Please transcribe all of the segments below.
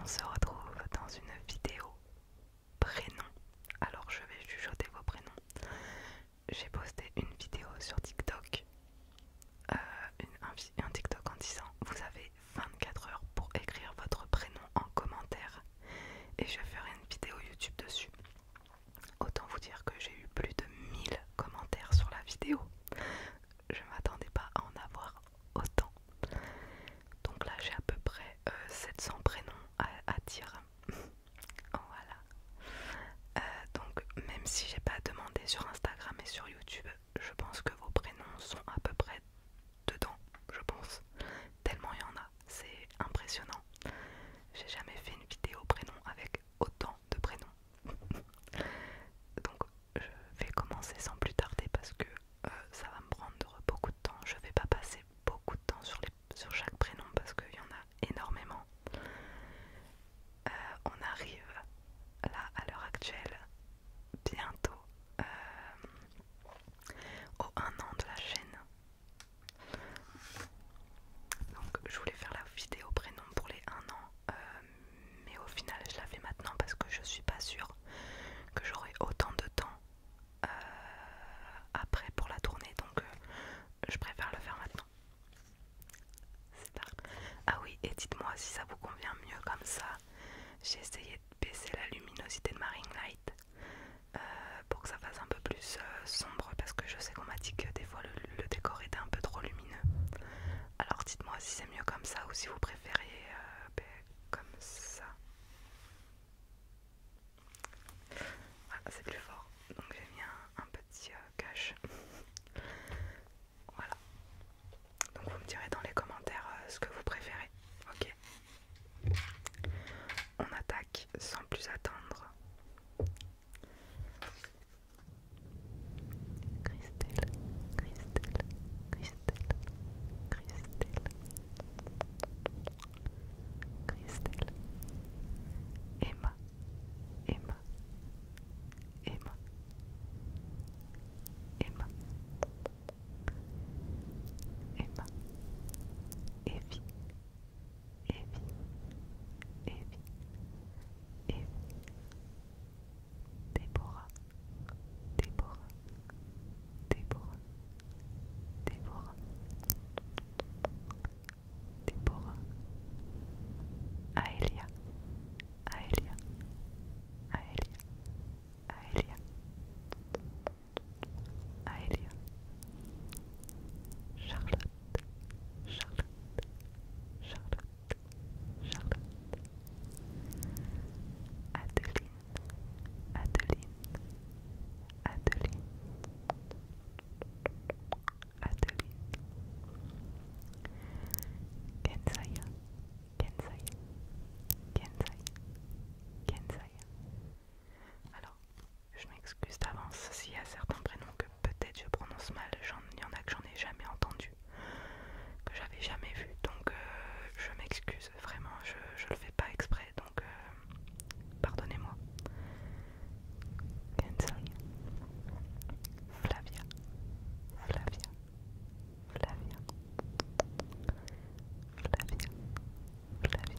On se retrouve dans une vidéo prénom. Alors je vais chuchoter vos prénoms. J'ai posté une vidéo sur TikTok, euh, un, un TikTok en disant vous avez 24 heures pour écrire votre prénom en commentaire et je ferai une vidéo YouTube dessus. Autant vous dire que j'ai eu plus de 1000 commentaires sur la vidéo. Je ne m'attendais pas à en avoir autant. Donc là j'ai à peu près 700 euh, prénoms à, dire. voilà. Euh, donc même si j'ai pas demandé sur Instagram et sur YouTube, je pense que vos prénoms sont à peu près dedans, je pense. Tellement il y en a, c'est impressionnant. J'ai jamais fait une vidéo prénom avec autant de prénoms Donc je vais commencer sans plus tarder parce que euh, ça va me prendre beaucoup de temps. Je vais pas passer beaucoup de temps sur, les, sur chaque prénom parce qu'il y en a énormément. Euh, on arrive là à l'heure actuelle bientôt euh, au 1 an de la chaîne. Donc je voulais faire la vidéo prénom pour les 1 an euh, mais au final je la fais maintenant parce que je suis pas sûre que j'aurai autant de temps euh, après pour la tourner donc euh, je préfère le faire maintenant ah oui et dites moi si ça vous convient mieux comme ça j'ai essayé de baisser la luminosité de Marine ring light pour que ça fasse un peu plus sombre parce que je sais qu'on m'a dit que des fois le le décor était un peu trop lumineux. Alors dites-moi si c'est mieux comme ça ou si vous préférez euh, ben, comme ça. Voilà, c'est plus fort. Donc j'ai mis un, petit euh, cache. voilà. Donc vous me direz dans les commentaires euh, ce que vous préférez. Ok. On attaque sans plus attendre. Christelle, Christelle, Christelle, Christelle, Christelle, Emma, Emma, Emma, Emma, Emma, Evie, Evie, Evie. et Déborah, Déborah, Déborah, Déborah, Déborah, Aélia, Aélia, Aélia, Aélia, Aélia, Charlotte, Charlotte, Charlotte, Charlotte, Adeline, Adeline, Adeline, Adeline, Kensaya, Kensaya, Kensaya, Kensaya. Alors, je m'excuse d'avance s'il y a certains prénoms que peut-être je prononce mal, il y en a que j'en ai jamais entendu, que j'avais jamais vu, donc euh, je m'excuse vraiment, je, je le fais pas exprès, donc euh, pardonnez-moi. Flavia. Flavia. Flavia. Flavia. Flavia.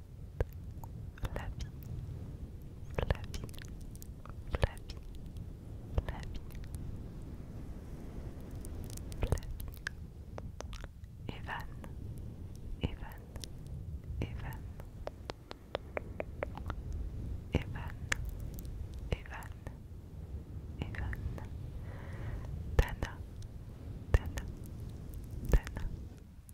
la vie, la la vie, la vie, Evan, Evan, Evan, Evan, Evan, Evan,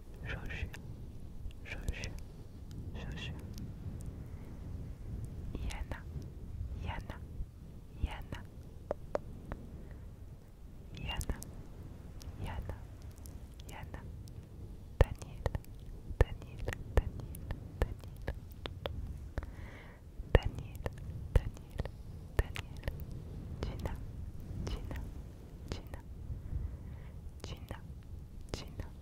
Joshua，Joshua，Joshua，Yana，Yana，Yana，Yana，Yana，Yana，Daniel，Daniel，Daniel，Daniel，Daniel，Daniel，Daniel，Gina，Gina，Gina，Gina，Gina。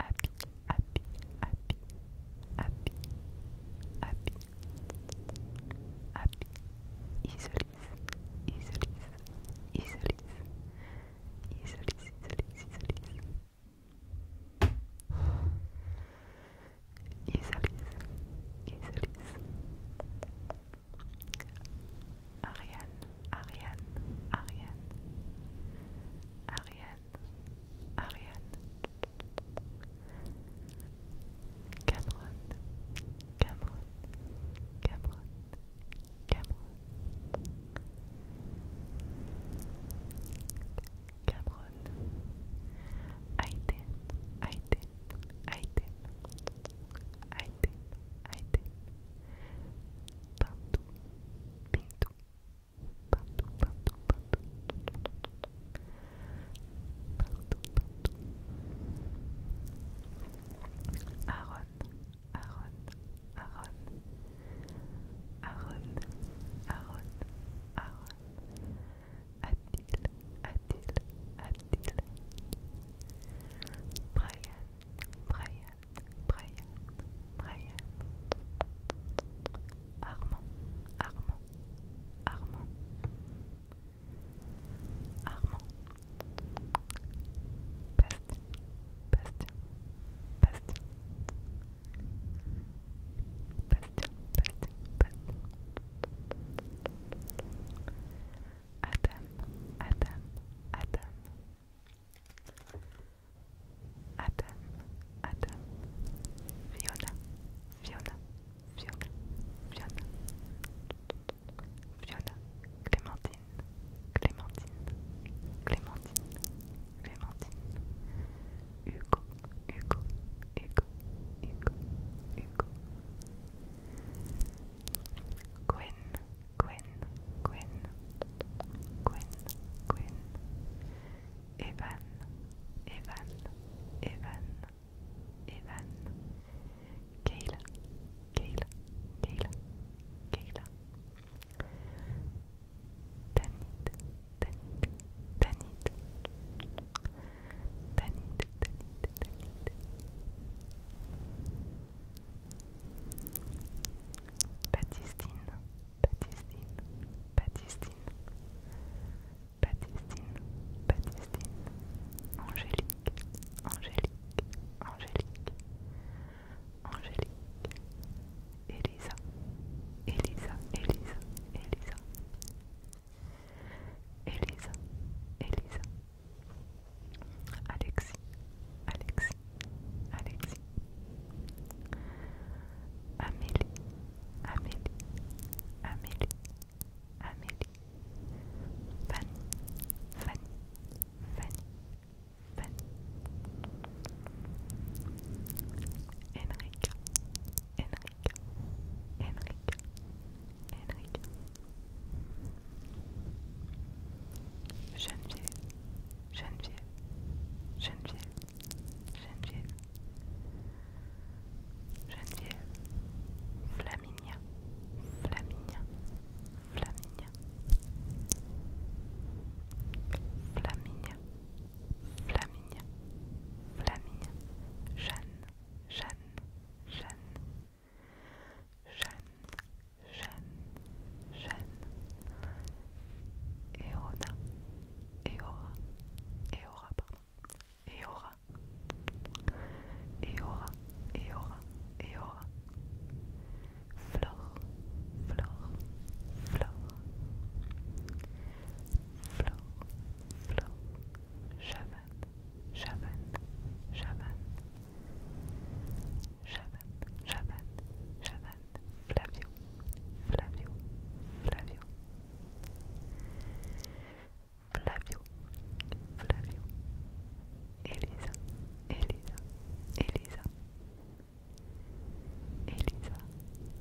happy, happy, happy, happy, happy, happy, isolise, isolise, isolise, isolise, Ariane. Ariane, Ariane, Cameron, Cameron, Cameron, Cameron, Cameron, Aiden, Aiden, Aiden, Aiden, Aiden, Pinto, Pinto, partout, partout, partout, partout, partout, Aaron, Aaron, Aaron, Aaron, Aaron, Aaron. Brian, Armand, Armand, Armand, Armand, Bastien, Bastien, Bastien, Bastien, Bastien, Adam, Adam, Adam, Adam, Adam, Fiona, Fiona, Fiona, Fiona, Fiona, Clémentine, Clémentine, Clémentine, Clémentine, Hugo, Hugo, Hugo, Hugo, Hugo, Gwen, Gwen, Gwen, Gwen, Gwen, Evan, Evan, Evan, Evan, Kayla, Kayla, Kayla, Kayla, Danit, Danit, Danit, Danit, Danit, Danit. Baptistine, Baptistine, Baptistine, Baptistine, Baptistine, Angélique, Angélique, Angélique, Angélique, Elisa, Elisa, Elisa, Elisa, Elisa, Elisa, Alexis, Alexis, Alexis, Amélie, Amélie, Amélie, Amélie, Fanny, Fanny, Fanny, Fanny, Enrique, Enrique, Enrique, Enrique. Geneviève, Geneviève, Geneviève, Geneviève, Geneviève, Flaminia, Flaminia, Flaminia, Flaminia, Flaminia, Flaminia, Jeanne, Jeanne, Jeanne, Jeanne, et Jeanne, Jeanne, Eona, Eora, Eora, pardon, et aura et aura Flore, Flore, Flore, Flore, Flore, Chavanne, Chavanne, Chavanne, Chavan, Chavan, Chavan, Flavio, Flavio, Flavio, Flavio, Flavio, Elisa, Elisa, Elisa, Elisa,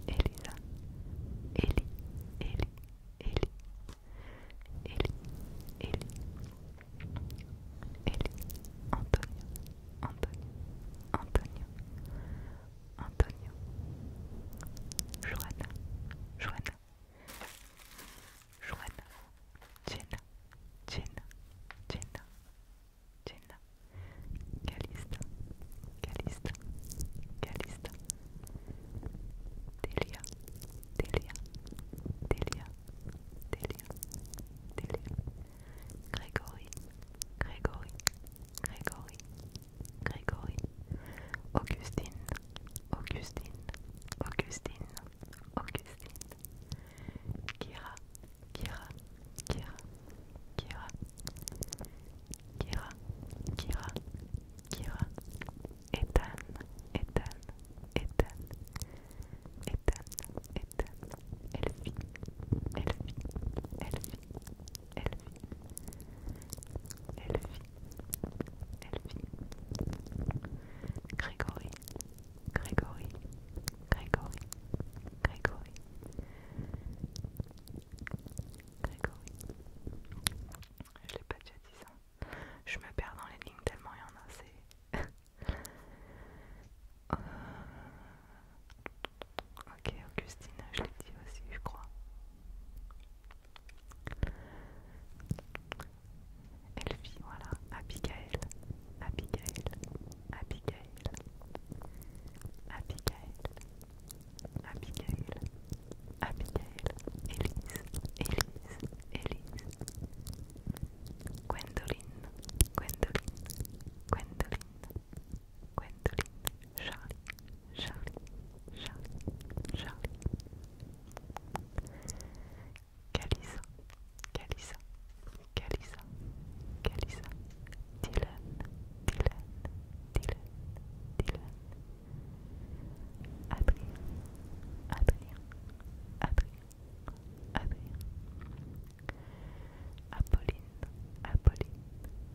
Elisa, Eli, Eli, Eli, Eli, Eli, Eli, Antonio, Antonio, Antonio, Antonio, Joanna, Joanna, Joanna, Jenna, Jenna, Jenna, Jenna, Calista, Calista, Calista, Delia, Delia, Delia, Delia, Delia. Grégory, Grégory, Grégory, Grégory, Augustine, Augustine, Augustine, Augustine, Kira, Kira, Kira, Kira, Kira, Kira, Kira, Ethan, Ethan, Ethan, Ethan, Ethan. Elfie, Elfie, Elfie, Elfie, Elfie, Elfie, Grégory, Grégory, Grégory, Grégory, Grégory. Je l'ai pas déjà dit ça. Je me perds dans les lignes tellement il y en a, c'est... Euh, Ok, Augustine, je l'ai dit aussi, je crois. Elfie, voilà. Abigail, Abigail, Abigail, Abigail, Abigail, Abigail, Elise, Elise, Elise, Gwendoline, Gwendoline, Gwendoline, Gwendoline, Charlie, Charlie, Charlie, Charlie. Kalisa, Kalisa, Kalisa, Kalisa. Dylan, Dylan, Dylan, Dylan. Adrien, Adrien, Adrien, Adrien. Apolline, Apolline,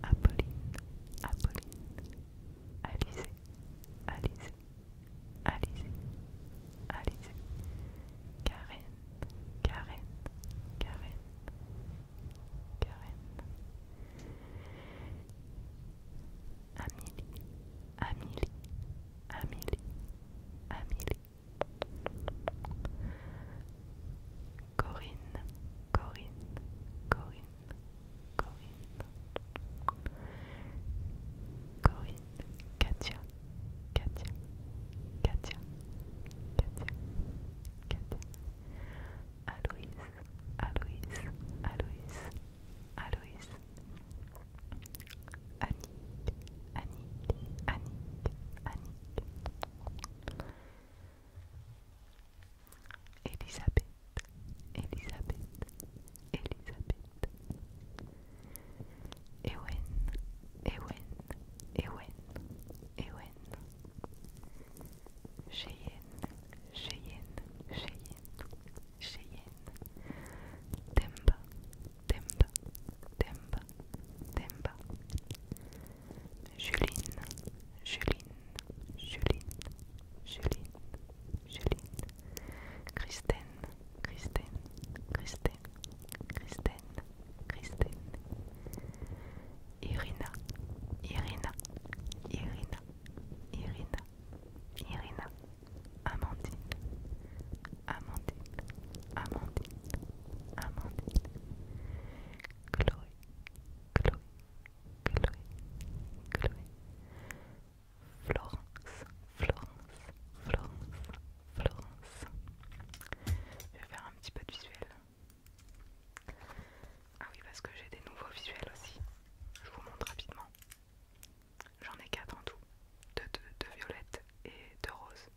Apolline, Apolline, Alizé, Alice Alizé, Alizé, Karen, Karen, Karen, Karen, Amélie, Amélie, Amélie, Amélie, Corinne, Corinne, Corinne, Corinne, Corinne, Katia, Katia, Katia, Katia, Katia, Aloïs, Aloïs, Aloïs, Aloïs, Annick, Annick, Annick, Annick. Elisabeth, Elisabeth, Elisabeth. Ewen, Ewen, Ewen, Ewen. Cheyenne, Cheyenne, Cheyenne, Cheyenne. Temba, Temba, Temba, Temba. Juline, Juline, Juline, Juline, Juline, Christine, Christine, Christine, Christine, Christine, Irina, Irina, Irina, Irina, Irina, Amandine, Amandine, Amandine, Amandine. Florence, Florence, Florence, Florence. Je vais faire un petit peu de visuel. Ah oui, parce que j'ai des nouveaux visuels aussi. Je vous montre rapidement. J'en ai quatre en tout. Deux de, violette et de roses.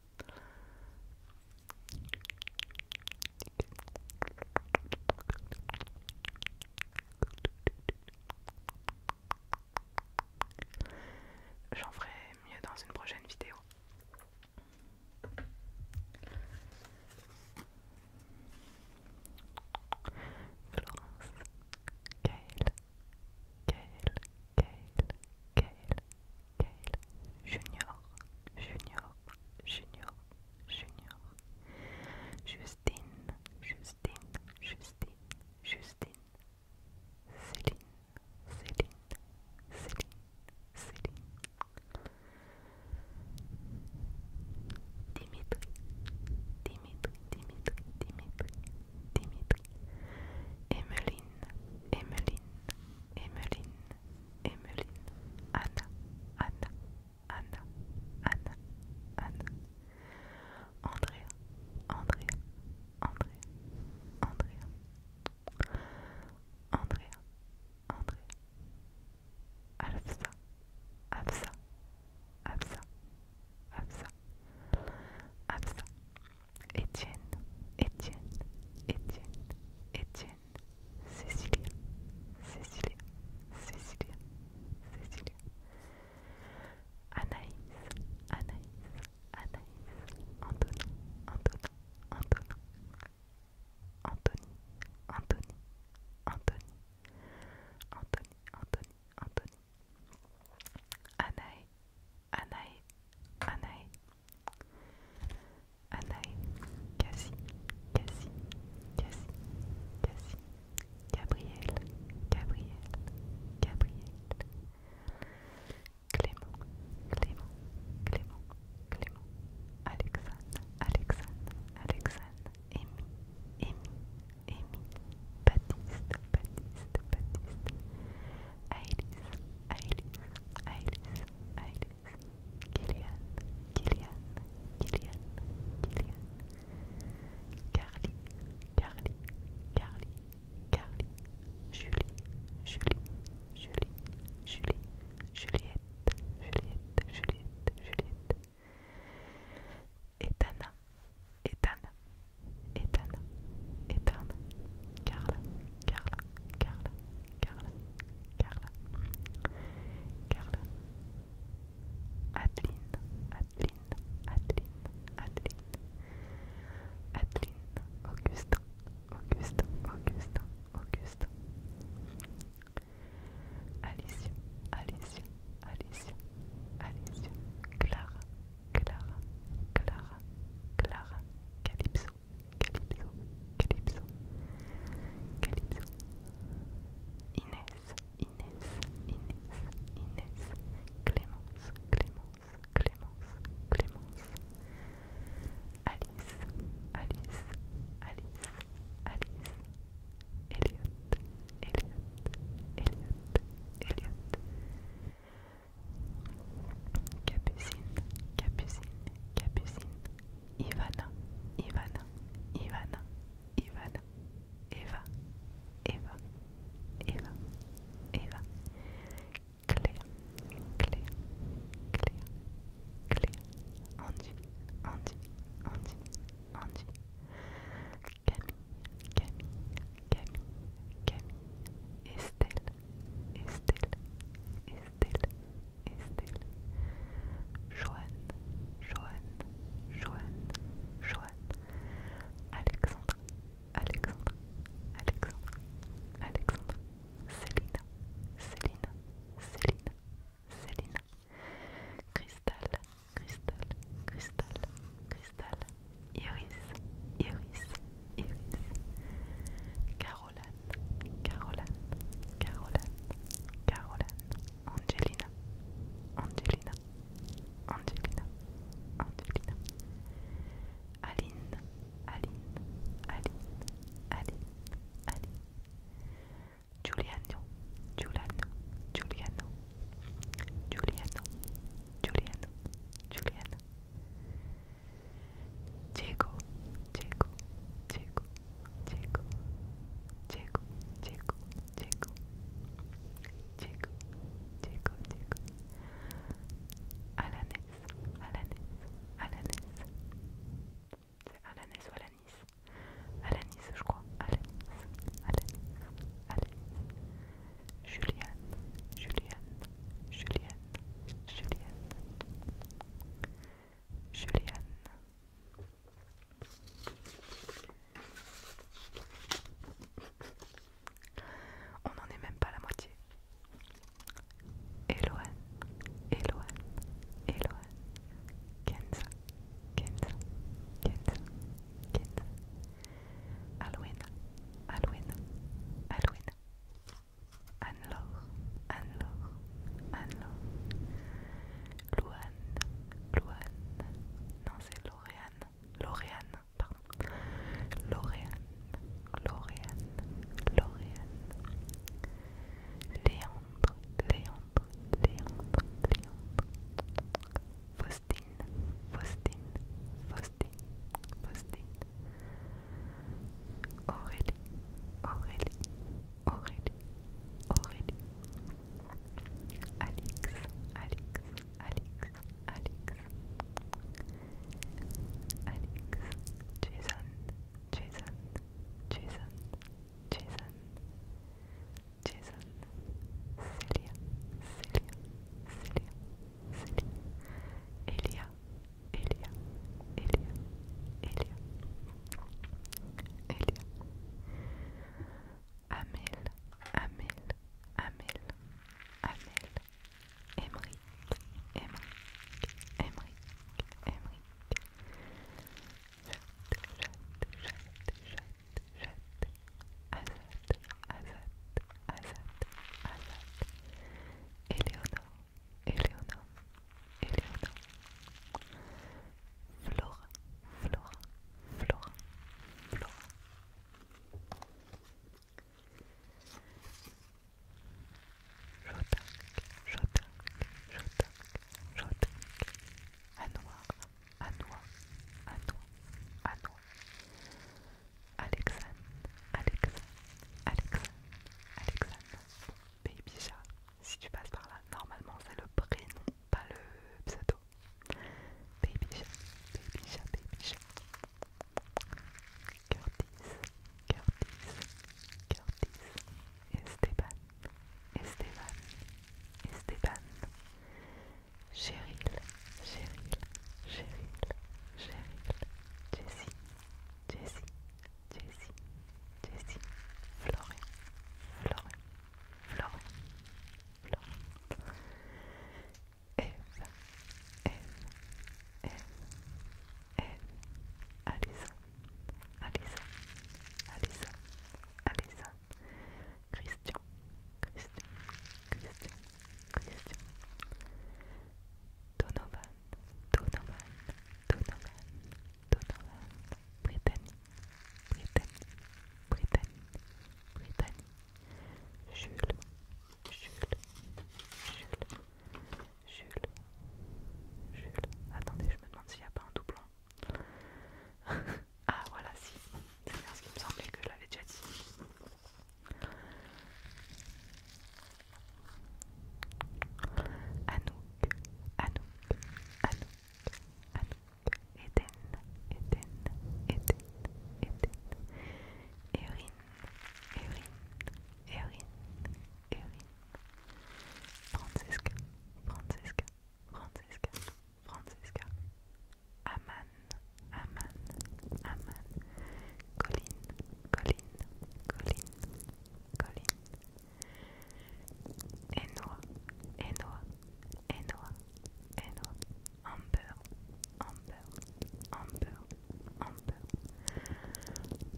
J'en ferai mieux dans une prochaine vidéo. Junior, Junior, Junior, Junior, Justine, Justine, Justine, Justine, Céline, Céline, Céline, Céline, Dimitri, Dimitri, Dimitri, Dimitri, Dimitri, Emeline, Emeline, Emeline, Emeline Anna, Anna, Anna, Anna, Andrea, Andrea, Andrea, Andrea, Afsa, Afsa, Afsa, Afsa, Etienne, Etienne. Cécilienne, Cécilia, Cécilia, Cécilia, Cécilia. Anaïs, Anaïs, Anaïs, Antonin, Antonin, Antonin. Anthony, Anthony, Anthony, Anthony, Anthony, Anthony. Anaï, Anaï, Anaï, Anaï, Cassie, Cassie, Cassie, Cassie, Gabriel, Gabriel, Gabriel, Clément, Clément, Clément, Clément, Alexandre, Alexandre, Alexandre, Amy, Amy, Amy, Baptiste, Baptiste, Baptiste, Iris, Iris, Iris, Iris. Kilian, Kilian, Kilian, Kilian, Carly, Carly, Carly, Carly, Julie, Julie, Julie, Julie, Juliette, Juliette, Juliette, Juliette, Etana, Etana, Etana, Etana, Carla, Carla, Carla, Carla, Carla, Carla, Adeline, Adeline, Adeline, Adeline, Adeline, Augustin, Augustin, Augustin, Augustin, Alicia, Alicia, Alicia, Clara, Clara, Clara, Clara, Calypso, Calypso, Calypso, Calypso, Inès, Inès, Inès, Inès. Clémence, Clémence, Clémence, Clémence. Alice, Alice, Alice, Alice. Elliot, Eliot, Elliot, Eliot, Capucine, Capucine, Capucine, Ivana, Ivana, Ivana, Ivana, Eva, Eva, Eva, Eva, Claire, Claire, Claire, Claire, Andy, Andy, Andy, Andy, Camille, Camille, Camille, Camille, Estelle, Estelle, Estelle, Estelle, Joanne, Joanne, Joanne, Joanne, Alexandre, Alexandre, Alexandre, Alexandre, Céline, Céline, Céline, Céline, Cristal, Cristal, Cristal, Cristal, Iris, Iris, Iris, Caroline, Caroline, Caroline, Caroline, Angelina, Angelina, Angelina, Angelina, Aline, Aline, Aline, Aline, Aline, Giuliano, Giuliano, Giuliano, Giuliano, Giuliano, Giuliano. Diego, Diego, Diego, Diego, Diego, Diego, Diego, Diego, Diego, Diego, Alanis, Alanis, Alanis, c'est ou Alanis, Alanis je crois, Alanis, Alanis, Alanis, Julianne, Julianne, Julianne. On n'en est même pas à la moitié. Eloane, Eloane, Eloane, Kenza, Kenza, Kenza, Kenza, Halloween, Halloween, Halloween. Anne-Laure, Anne-Laure, anne Louane, Louane, non c'est Loréane Loréane pardon, Loréane Loréane Loréane Léandre, Léandre, Léandre, Léandre, Faustine, Faustine, Faustine, Faustine, Aurélie, Aurélie, Aurélie, Aurélie, Alex, Alex, Alex, Alex, Alex, Jason, Jason, Jason, Jason, Jason, Célia, Célia, Celia, Célia, Elia, Elia, Elia, Elia, Elia. Amel, Amel, Amel, Amel. Jette, Jette, Jette, Jette, Eleonore, Eleonore Flora, Flora, Flora, Flora. Jotac, Jotac, Jotac, Jotac. Anouar, Anouar, Anouar, Anouar. Alexandre, Alexandre, Alexandre, Alexandre. Baby si tu passes par là. Normalement, c'est le prénom, pas le pseudo. Baby chat, baby chat, baby chat. Curtis, Curtis, Curtis. Esteban, Esteban, Esteban. Cheryl, Cheryl, Cheryl, Cheryl. Jessie, Jessie, Jessie, Jessie, Floré, Floré, Florian, Florian, Eve, Eva, Alison, Alison, Alison, Christian, Christian, Christian, Christian, Donovan, Donovan, Donovan, Donovan, Britannie, Britannie, Britannie, Britannie, Jules, Jules, Jules, Jules, Jules. Attendez, je me demande s'il n'y a pas un doublon. ah voilà, si. C'est bien ce qui me semblait que je l'avais déjà dit. Anouk, Anouk, Anouk, Anouk, Eden, Eden, Eden, Eden, Erin, Erin, Erin, Erin, Francesca, Francesca, Francesca, Francesca, Aman, Aman, Aman, Colline, Colline, Colline, Colline, Enoa, Enoa, Enoa, Enoa, Amber, Amber, Amber, Amber,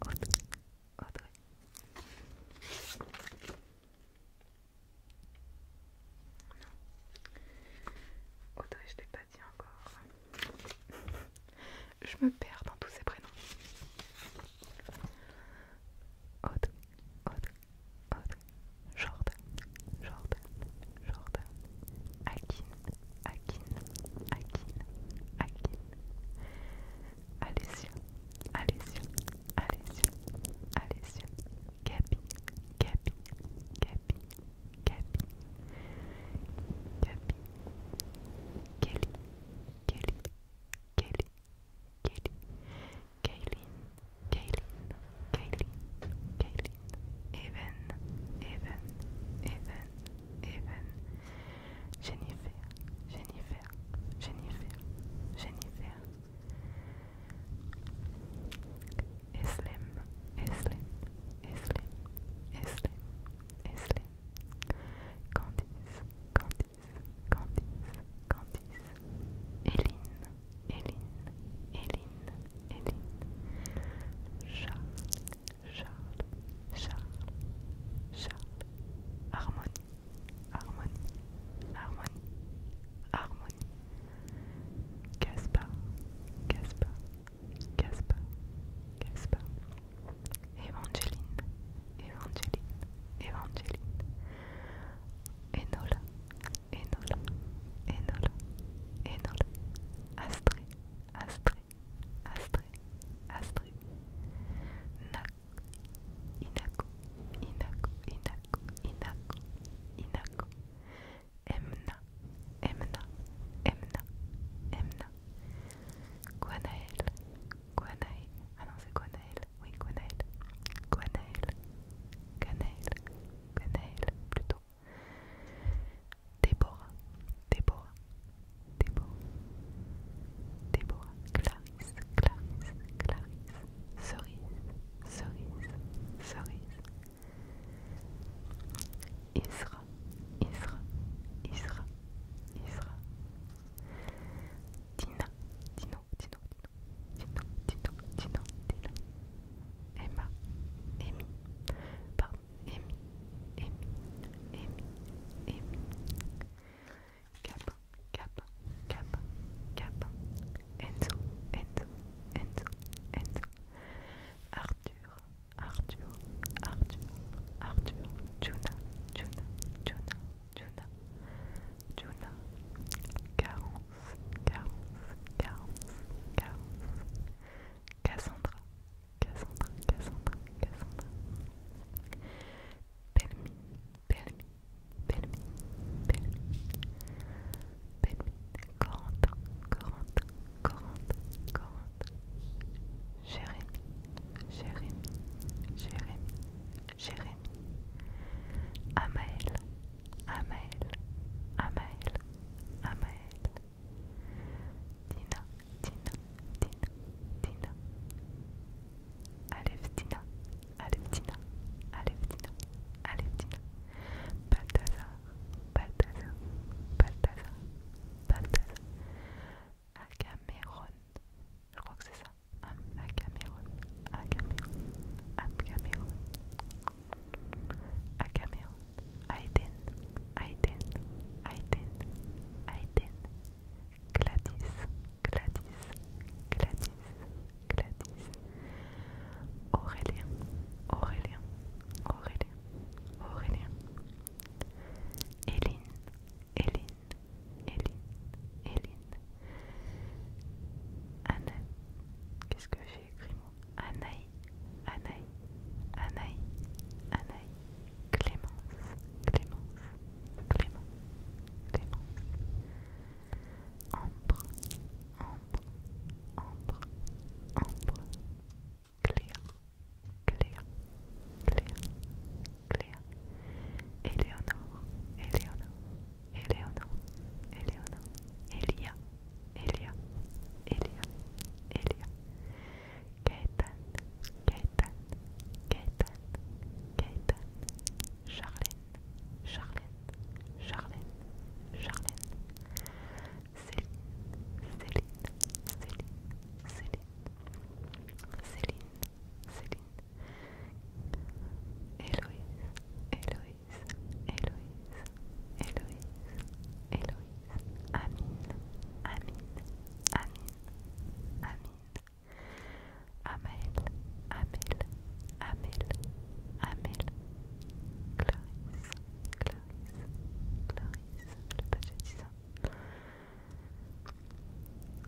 Audrey, Audrey. Audrey, je t'ai pas dit encore. je me perds dans tous ces prénoms. Audrey Jordan, Jordan, Jordan, Akin, Akin, Akin, Akin, Alessia, Alessia, Alessia, Alessia, Gabi, Gabi, Gabi, Gabi, Gabi, Kelly, Kelly, Kelly, Kelly, Kaylin, Kaylin, Kaylin, Kaylin, Evan, Evan, Evan, Evan, Jennifer, Jennifer, Jennifer, Jennifer, Eslem, Eslem, Eslem, Eslem, Eslem, Candice, Candice, Candice, Candice, Eline, Eline, Eline, Eline, Charles, Charles, Charles, Charles, Harmonie, Harmonie, Harmonie, Harmonie, Caspar, Caspar, Caspar, Caspar, Evangeline, Evangeline, Evangeline, Enola, Enola, Enola, Enola, Astrée, Astrée, Astrée, Astrée, Nak, Inako, Inako, Inako, Inako, Inako, Emna, Emna, Emna, Emna, Guanael, Gwenail. Ah non, c'est Gwenail. Oui, Gwenail. Gwenail. Gwenail. Gwenail, plutôt. Déborah. Déborah. Déborah. Déborah. Clarisse. Clarisse. Clarisse. Cerise. Cerise. Cerise. Isra. Isra. Isra. Isra. Dina, Dino, Dino, Dino, Dino, Dino, Dino, Emma, Amy, pardon, Emmy, Amy, Cap, Cap, Cap, Cap, Enzo, Enzo, Enzo, Enzo, Arthur, Arthur, Arthur, Arthur, Juna, Juna, Juna, Juna, Carence, Carence, Carence, Carence, Cassandra, Cassandra, Cassandra, Cassandra, Pelmi, Pelmi, Pelmi, Pelmi, Pelmi, Corante, Corante, Corante, Corante, Jérémy, Jérémy, Jérémy, Jérémy, Amael, Amael, Amael, Amael, Dina, Dina, Dina, Dina, Aleph Dina, Aleph Dina, Aleph Dina, Aleph Dina, Balthazar, Balthazar, Balthazar, Balthazar, Acaméron. Je crois que c'est ça. Acaméron. Acaméron. Acaméron. Acaméron. Aiden. Aiden. Aiden. Aiden. Gladys. Gladys. Gladys. Gladys. Aurélien. Aurélien. Aurélien. Aurélien. Eline, Eline, Anne, qu'est-ce que j'ai écrit moi Anaï, Anaï, Anaï, Anaï, Clémence, Clémence, Clémence, Clémence, Ambre, Ambre, Ambre, Ambre, Cléa, Cléa, Cléa, Cléa, Eleonore, Eleonore, Eleonore, Eleonore, Elia, Elia, Elia, Elia, Gaëtan, Gaëtan, Gaëtan, Gaëtan, Charlène, Charlène, Charlène, Charlène, Céline, Céline, Céline, Céline, Céline, Céline, Héloïse, Héloïse, Héloïse, Héloïse, Héloïse, Amine, Amine, Amine, Amine, Amel, Amel, Amel, Amel, Clarisse, Clarisse, Clarisse, le budget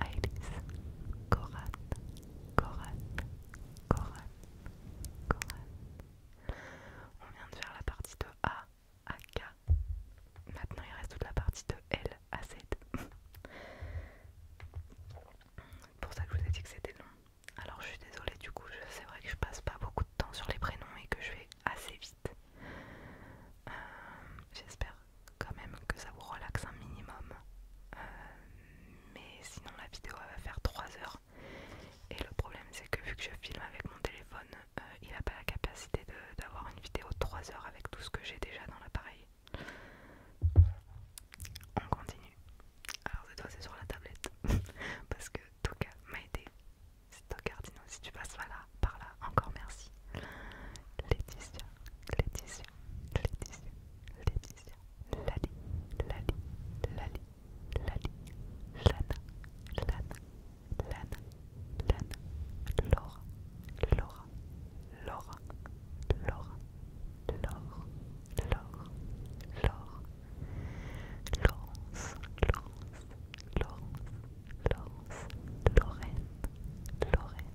Iris, Coran, Coran, Coran, Coran. On vient de faire la partie de A à K. Maintenant, il reste toute la partie de L à Z. C'est pour ça que je vous ai dit que c'était long. Alors, je suis désolée, du coup, c'est vrai que je passe pas beaucoup de temps sur les prénoms et que je vais assez vite. Euh, j'espère quand même que ça vous relaxe un minimum. Euh, mais sinon la vidéo elle va faire 3 heures. Et le problème c'est que vu que je filme avec mon téléphone, euh, il n'a pas la capacité d'avoir une vidéo de 3 heures avec tout ce que j'ai déjà dans l'appareil. On continue. Alors cette fois c'est sur la tablette. Parce que Toca m'a aidé. C'est Tocardino, si tu passes là, par là, encore merci. Laetitia, Laetitia, Laetitia, Laetitia, Lali, Lali, Lali, Lali, Lana, Lana, Lana, Lana, Laura, Laura, Laura, Laura, Laura Laura Laura Laurence, Laurence, Laurence, Laurence, Lorraine, Lorraine,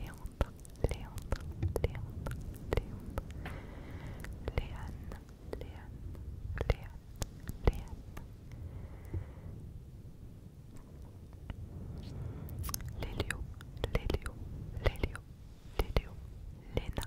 Léandre, Léandre, Léandre, Léandre, Léane, Léane, Léane, Léane, Lélio, Lena,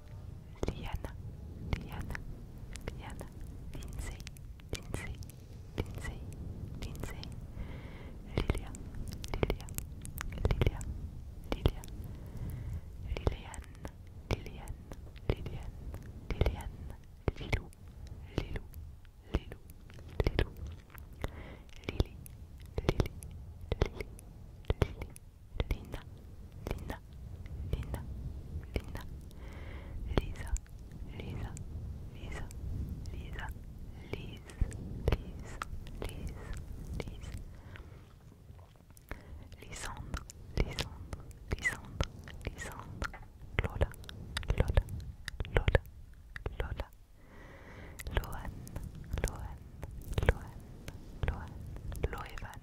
Liana, Liana, Liana, Lindsay, Lindsay, Lindsay, Lindsay, Lilia, Lilia, Lilia, Lilia, Liliane, Liliane, Liliane, Liliane, Lilou, Lilou, Lilou, Lilou, Lily, Lily, Lily, Lily. Lina, Lina, Lina, Lina, Lisa, Lisa, Lisa, Lisa, Lise, Lise, Lise, Lise, Lisandre, Lisandre, Lisandre, Lisandre, Lola, Lola, Lola, Lola, Loan, Loan, Loan, Loan, Loevan,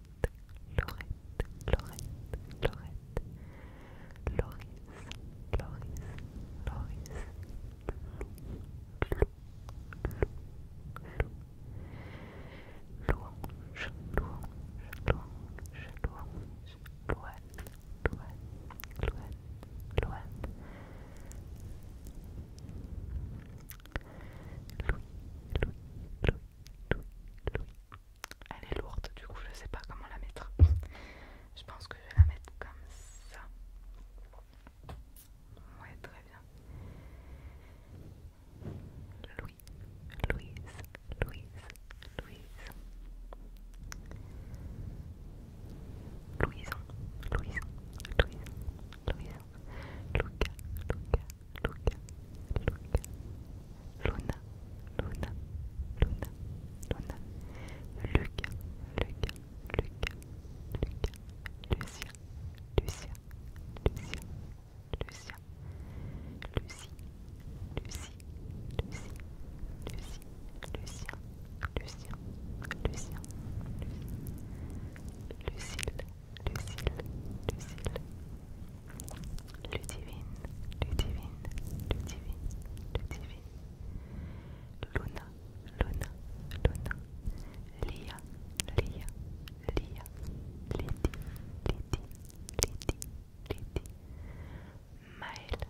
Lorette Laurette, Loris, Loris, Loris, Lou, Lou, Lou, Louange, Louange, Louange, Louange, Louange, Louange, Louange, Louis, Louis, elle est lourde, du coup, je sais pas comment la mettre. Je pense que je vais la mettre comme ça. Ouais, très bien. Louis, Louise, Louise, Louise. Louison, Louison, Louise. Louise. Luca, Luca, Luca, Luc Luna, Luna, Luna, Luna, Luca, Luca, Luc Lucien, Lucien, Lucien, Lucien, Lucie, Lucien, Lucien, Lucien, Lucille, Lucille, Ludivine, le Luna, Luna, Luna, Lia, Lia, Lia, Lydie, Lydie, Lydie, Maëlle,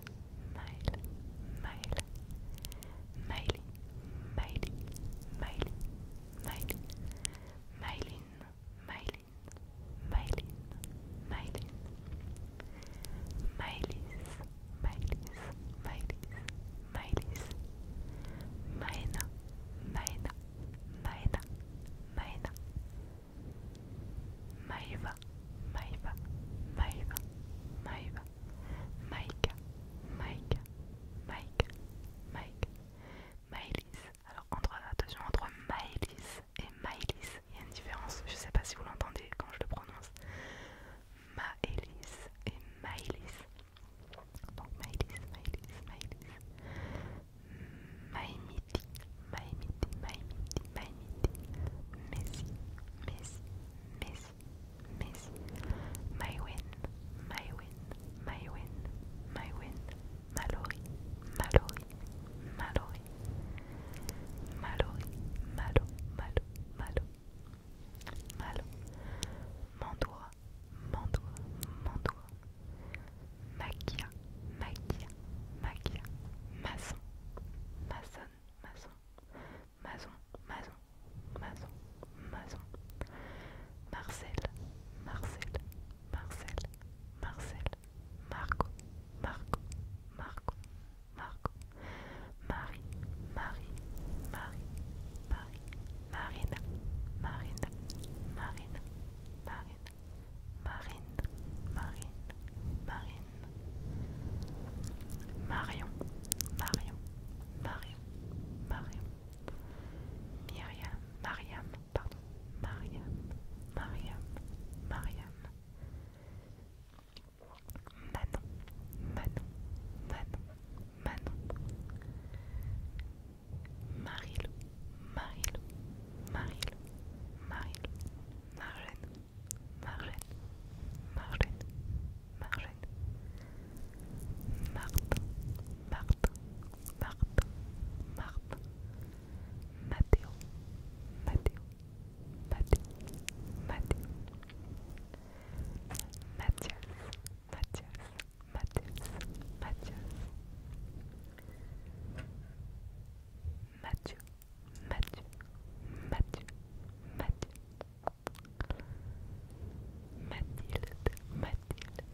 Maëlie, Miley, Miley, Maëline, Mylin, Mylin, Mylis, Mylis, Mylis, Mylis, Myna, Myna, Myna, Myna, Myva, Myva, Myva, Myva, Myka, Myka, Myka, Myka, Maëlys. Alors entre, attention, entre Maëlys et Maëlys, il y a une différence, je ne sais pas si vous l'entendez quand je le prononce. Maëlys et Maëlys. Donc Maëlys, Maëlys, Maëlys. Maïmiti, Maïmiti, Maïmiti, Maïmiti. Messi, Messi, Messi, Messi. Maïwen, Maïwen, Maïwen, Maïwen. Mallory, Mallory. Malou, Malou, Malo, Malo, Malo, Malo, mandoa mandoa Maquia, Maquia, Maquia, Maçon, Maçon, Maçon, Maçon, Maçon, Maçon, Maçon, Marcel, Marcel, Marcel, Marcel, Marco, Marco, Marco, Marco, Marie, Marie, Marie, Marie, Marine, Marine, Marine, Marina, Marine, Marine, Marine, Marion, Marion, Marion, Marion, Myriam, Mariam, pardon, Mariam, Mariam, Mariam. Manon, Manon, Manon, Manon. Marilou, Marilou, Marilou, Marilou, Marjane, Marjane, Marjane, Marjane. Martin, Martin, Martin, Martin. Mateo, Mateo, Mateo, Mateo, Matthias, Matthias, Matthias, Matthias, Matthew, Matthew, Matthew, Matthew, Mathilde, Mathilde,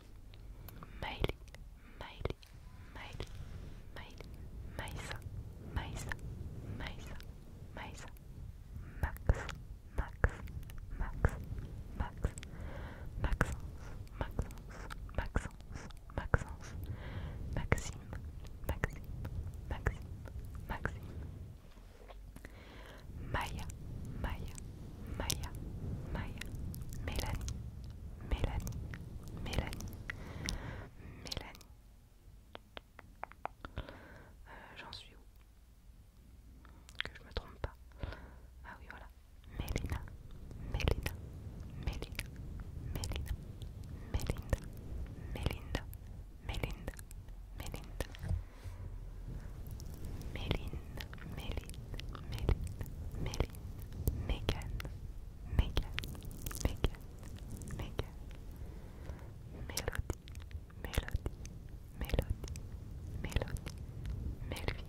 Miley, Miley, Miley, Miley, Maisa, Maisa, Maisa, Maisa, Max, Max, Max, Max, Maxence, Maxence, Maxence, Maxence, Maxime, Maxime, Maxime, Maxime, Maya, Maya, Maya, Maya, Mélanie, Mélanie, Mélanie, Mélanie. J'en suis où Que je me trompe pas. Ah oui, voilà. Mélina, Mélina, Mélina, Mélina, Mélinda, Méline, Méline, Megan, Megan, Megan, Megan. Melody, Melody, Melody, Melody. Melvin,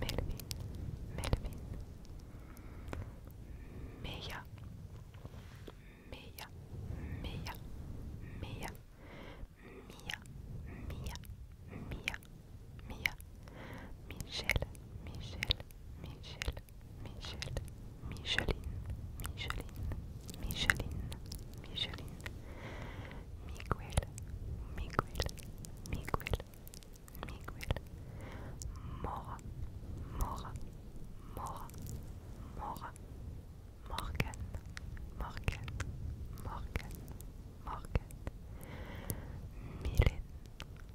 Melvin, Melvin. Mea, Mea, Mea, Mea. Mia, Mia, Mia, Mia, Michel, Michel, Michel, Michel, Micheline, Micheline, Micheline, Micheline, Miguel, Miguel, Miguel, Miguel, Mora, Mora, Mora, Mora, Morgan, Morgan, Morgan, Morgan, Mylène,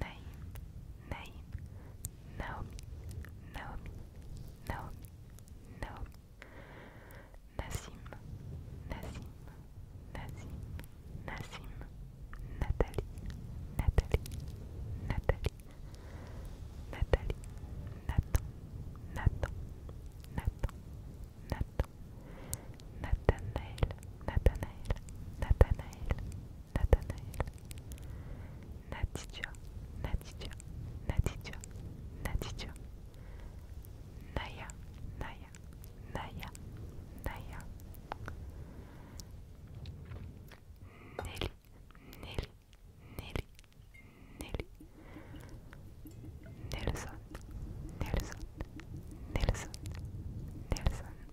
name, name, Naomi, Naomi, Naomi, Naomi, Nassim, Nassim, Nassim, Nassim, Nathalie, Nathalie, Nathalie, Nathalie, Nathan, Nathan, Nathan, Nathan, Nathanael, Nathanael, Nathanael, Nathanael, Natija, Natija, Natija, Natija. Naya, Naya, Naya, Naya. Nelly, Nelly, Nelly, Nelly. Nelson, Nelson, Nelson, Nelson.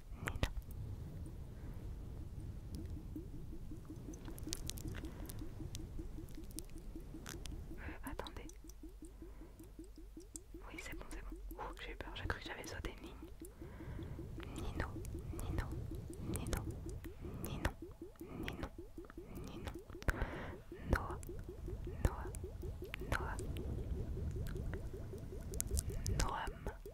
Nino Euh, attendez. Oui, c'est bon, c'est bon. j'ai eu peur, j'ai cru que j'avais sauté une ligne. Nino, Nino, Nino, Ninon, Ninon, Ninon. Noah, Noah, Noah. Noam,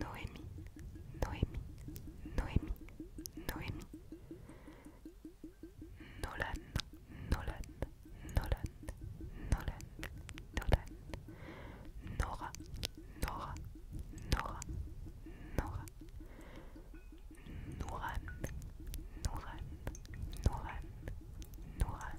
Noémie, Noémie, Noémie, Noémie. Nolan, Nolan, Nolan, Nolan, Nolan. Nora, Nora, Nora, Nora. Nouran, Nouran, Nouran, Nouran.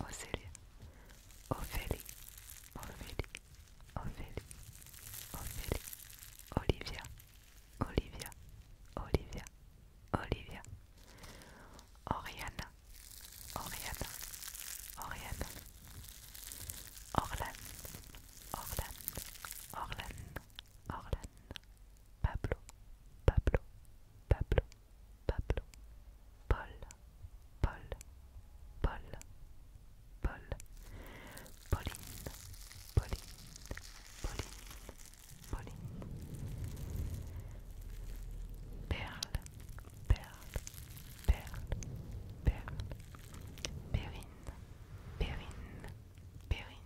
Océlie, Ophélie, Ophélie, Ophélie, Ophélie, Olivia, Olivia, Olivia, Olivia, Oriana, Oriana, Oriana, Orlan, Orlane, Orlan, Orlane, Pablo, Pablo, Pablo, Pablo, Paul, Paul, Paul, Paul, Pauline, Pauline, Pauline, Pauline, Perle, Perle, Perle, Perle, Perrine, Perrine, Perrine,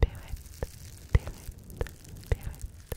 Perrine, Perrette, Perrette, Perrette.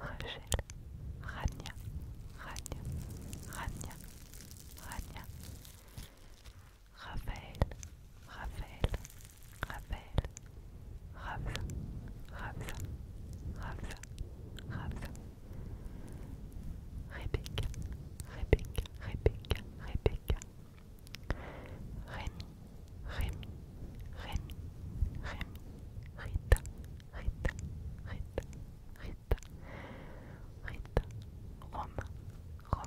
Rachel, Rania, Rania, Rania, Rania, Raphaël, Raphaël, Raphaël, Rave Rave Rave Ravza, Rebecca, Rebecca, Rebecca, Rebecca, Rémi, Rémi, Rémi, Rémi, Rita, Rita, rite, rite, Rita, Rome, Rome,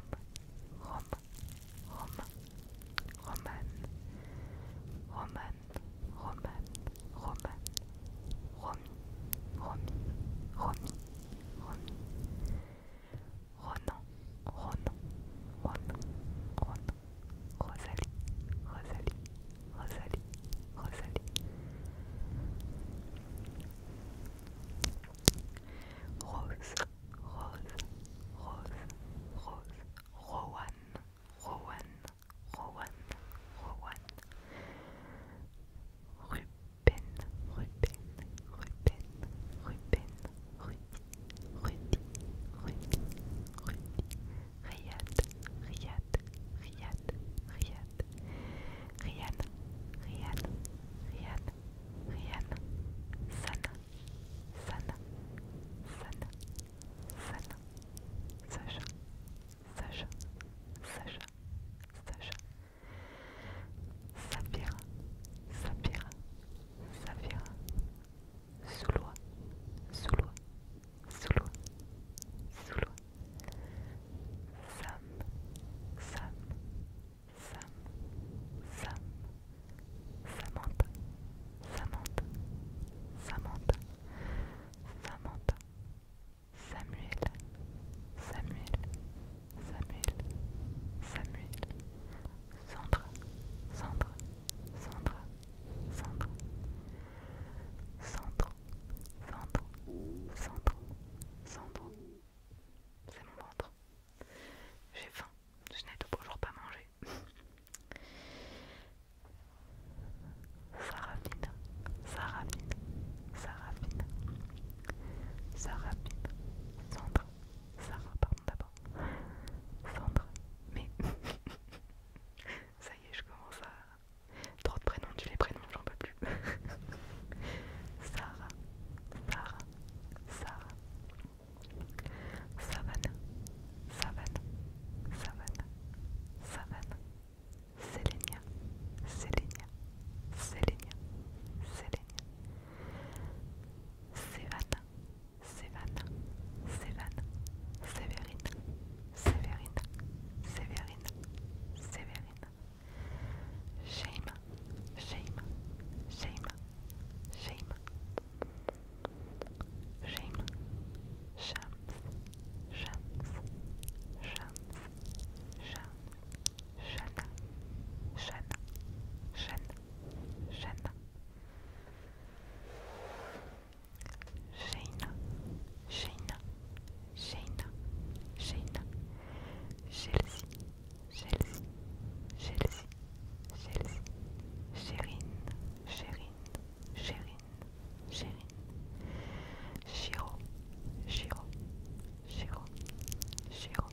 Rome, Rome, Roman, Roman, Roman, Roman, Romy, romi, Romy, Ronan, Ronan, Ronan, Ronan, Rosalie, Rosalie, Rosalie, Rosalie. Rose, Rose, Rose, Rose, Rowan, Rowan, Rowan, Rowan. Ruben, Ruben, Ruben, Ruben, Rudy, Rudy, Rudy, Rudy. Riyad, Riyad, Riyad, Riyad, Riyad, Riyad, Riyad, Riyad, Sana, Sana, Sana, Sana, Sacha, Sacha, Sacha, Sacha, Sapira, Sapira, Sapira, Soulois, Soulois, sous Sam, Sam, Sam, Sam, Samantha, Samantha, Samantha, Samantha, Samuel, Samuel, Samuel, Samuel, Sandra, Sandra, Sandra, Sandra, ventre, centre, centre. C'est mon ventre. J'ai faim. Je n'ai toujours pas mangé. Ça Ça Ça Ça Ça raffine Ça ça d'abord, ventre. mais ça y est, je commence à Trop de prénoms, tu les prénoms, j'en peux plus. Sarah, Sarah, Sarah. Savane, Savane, Savane, Savane. Sélénia, Sélénia, Sélénia, Sélénia. Sévane, Sévane, Sévane, Sévérine, Severina, Severina, Severina. Shame, shame, shame, shame. Shame, shams, shams, shams, shams. Shana, Shana, Shana, Sheina, Sheina, Sheina, Sheina, Chelsea, Chelsea, Chelsea, Chelsea, Chérine, Chérine, Chérine, Chérine, Chiro, Chiro, Chiro, Chiro,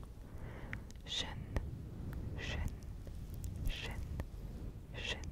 Jeune, Jeune, Jeune, Jeune,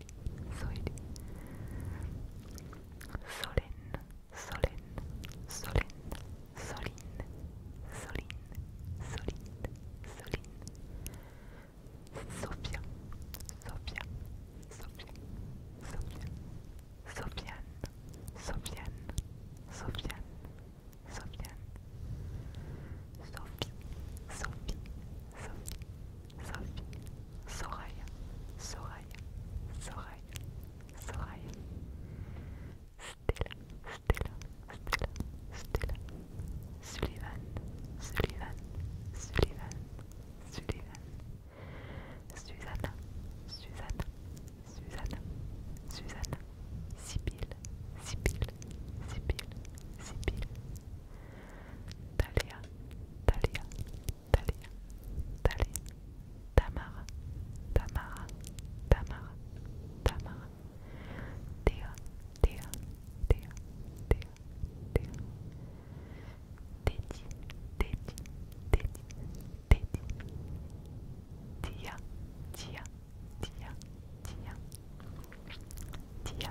Soili, Solène, Solène, Solène, Soline, Soline, Soline, Soline. Sophia, Sophia, Sophia, Sophia. Sofiane, Sofiane, Sofiane, Sofiane. Sophie, Sophie, Sophie, Sophie, Soraya, Soraya, Soraya, Soraya. Stella, Stella, Stella, Stella. Sullivan, Sullivan, Sullivan, Sullivan. Suzanne, Suzanne, Suzanne, Suzanne, Sibylle, Sibylle, Sibylle, Sibylle, Talia, Talia, Talia, Tali, Tamara, Tamara, Tamara, Tamara, Théa, Théa, Théa, Théa, Théa, Teddy, Teddy, Téti, Téti, Tia, Tia, Tia, Tia, Tia, Tia,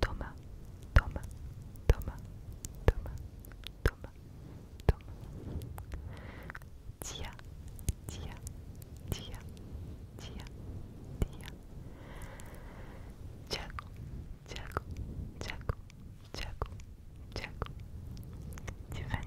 Thomas, Thomas, Thomas, Thomas, Thomas, Thomas. Tia, Tia, Tia, Tia, Tia. Tiago, Tiago, Tiago, Tiffany,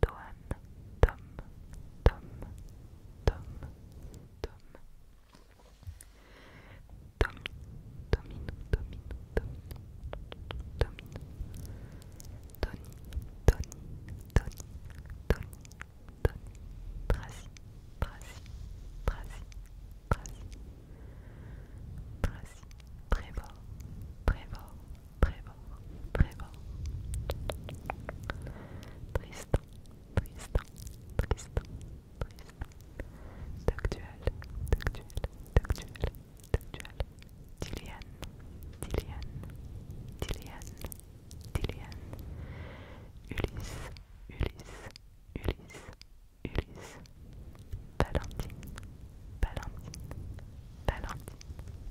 Dom Tom, Tom, Tom, Tom. Tom, Domino, Domino, Tony, Tony, Tony, Tracy, Très Trevor. Tristan, Tristan, Tristan, Tristan. Doctuel, Ulysse, Ulysse, Ulysse, Ulysse. Valentine, Valentine. Valentine,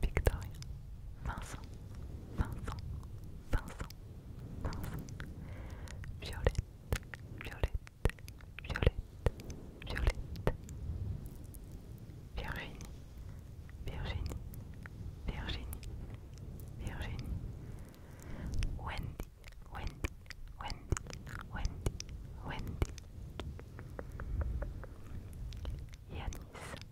Victoria, Vincent, Vincent, Vincent, Vincent, Violette, Violette, Violette, Violette, Virginie, Virginie, Virginie, Virginie, Wendy, Wendy, Wendy, Wendy, Wendy. Yanis,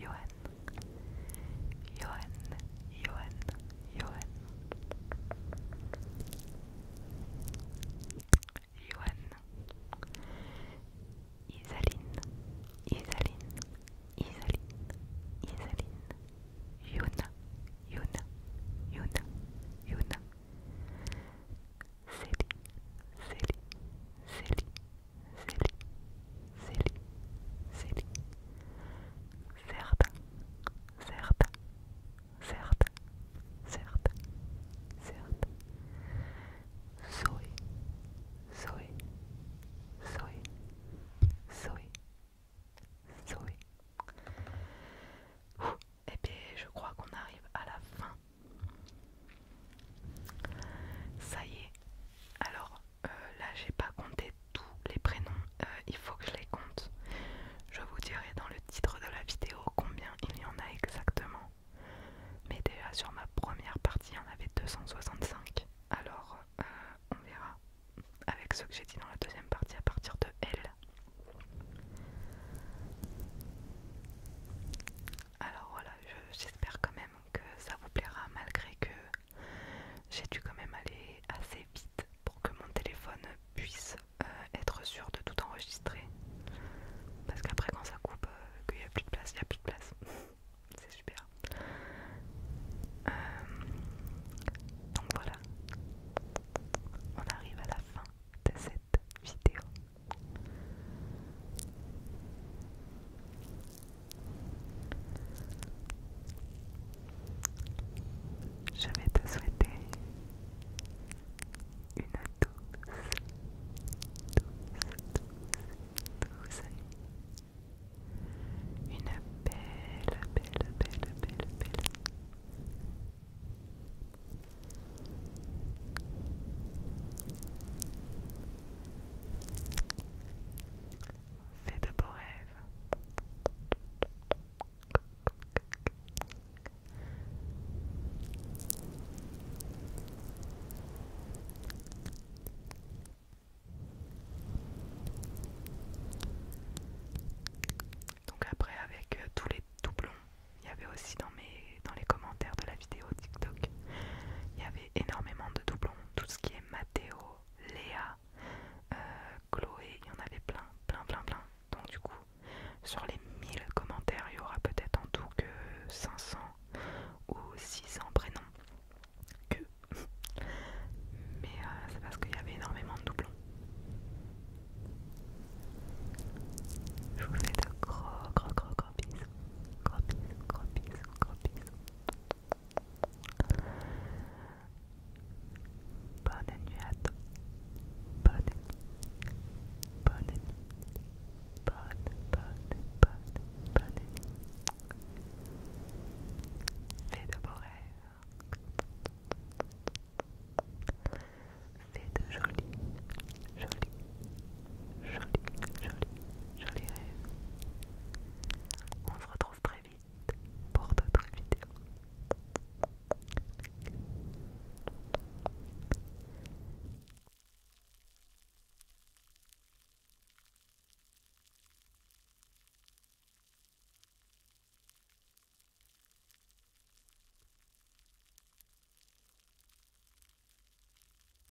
Yuan, Yuan, Yuan, Yuan, Yuan, Isaline, Isaline, Isaline, Isaline, Yuna, Yuna, Yuna, Yuna, Célie, Célie, Célie, Celi, Celi, Celi, Certes, certes, certes, certes, certes. Zoé, Zoé, Zoé, Zoé, Zoé. et puis je crois qu'on arrive à la fin ça y est. Alors euh, là, j'ai pas compté tous les prénoms. Euh, il faut que je les compte. Je vous dirai dans le titre de la vidéo combien il y en a exactement. Mais déjà sur ma première partie, il y en avait 265. Alors euh, on verra avec ce que j'ai dit dans la deuxième partie à partir de L. Alors voilà, j'espère quand même que ça vous plaira malgré que j'ai dû quand même aller assez vite pour que mon téléphone puisse euh, être sûr de tout enregistrer. Parce qu'après quand ça coupe, euh, qu'il n'y a plus de place, il n'y a plus de place. C'est super. Euh, donc voilà, on arrive à la fin de cette vidéo. Je vais te souhaiter une douce, douce, douce, douce Une belle, belle, belle, belle, de beaux rêves. Donc après avec euh, tous les doublons, il y avait aussi dans mes dans les commentaires de la vidéo TikTok, il y avait énormément de doublons, tout ce qui est Mathéo, Léa, euh, Chloé, il y en avait plein, plein, plein, plein. Donc du coup, sur les 1000 commentaires, il y aura peut-être en tout que 500 ou 600 prénoms. Que. Mais euh, c'est parce qu'il y avait énormément de doublons. Je vous fais de gros, gros, gros, gros bisous bisous, gros bisous, gros bisous, gros bisous. Bonne nuit à toi. Bonne nuit. Bonne nuit. Bonne, bonne, bonne, bonne nuit. Fais de beaux rêves. Fais de jolis, jolis, joli, joli rêve. On se retrouve très vite pour d'autres vidéos.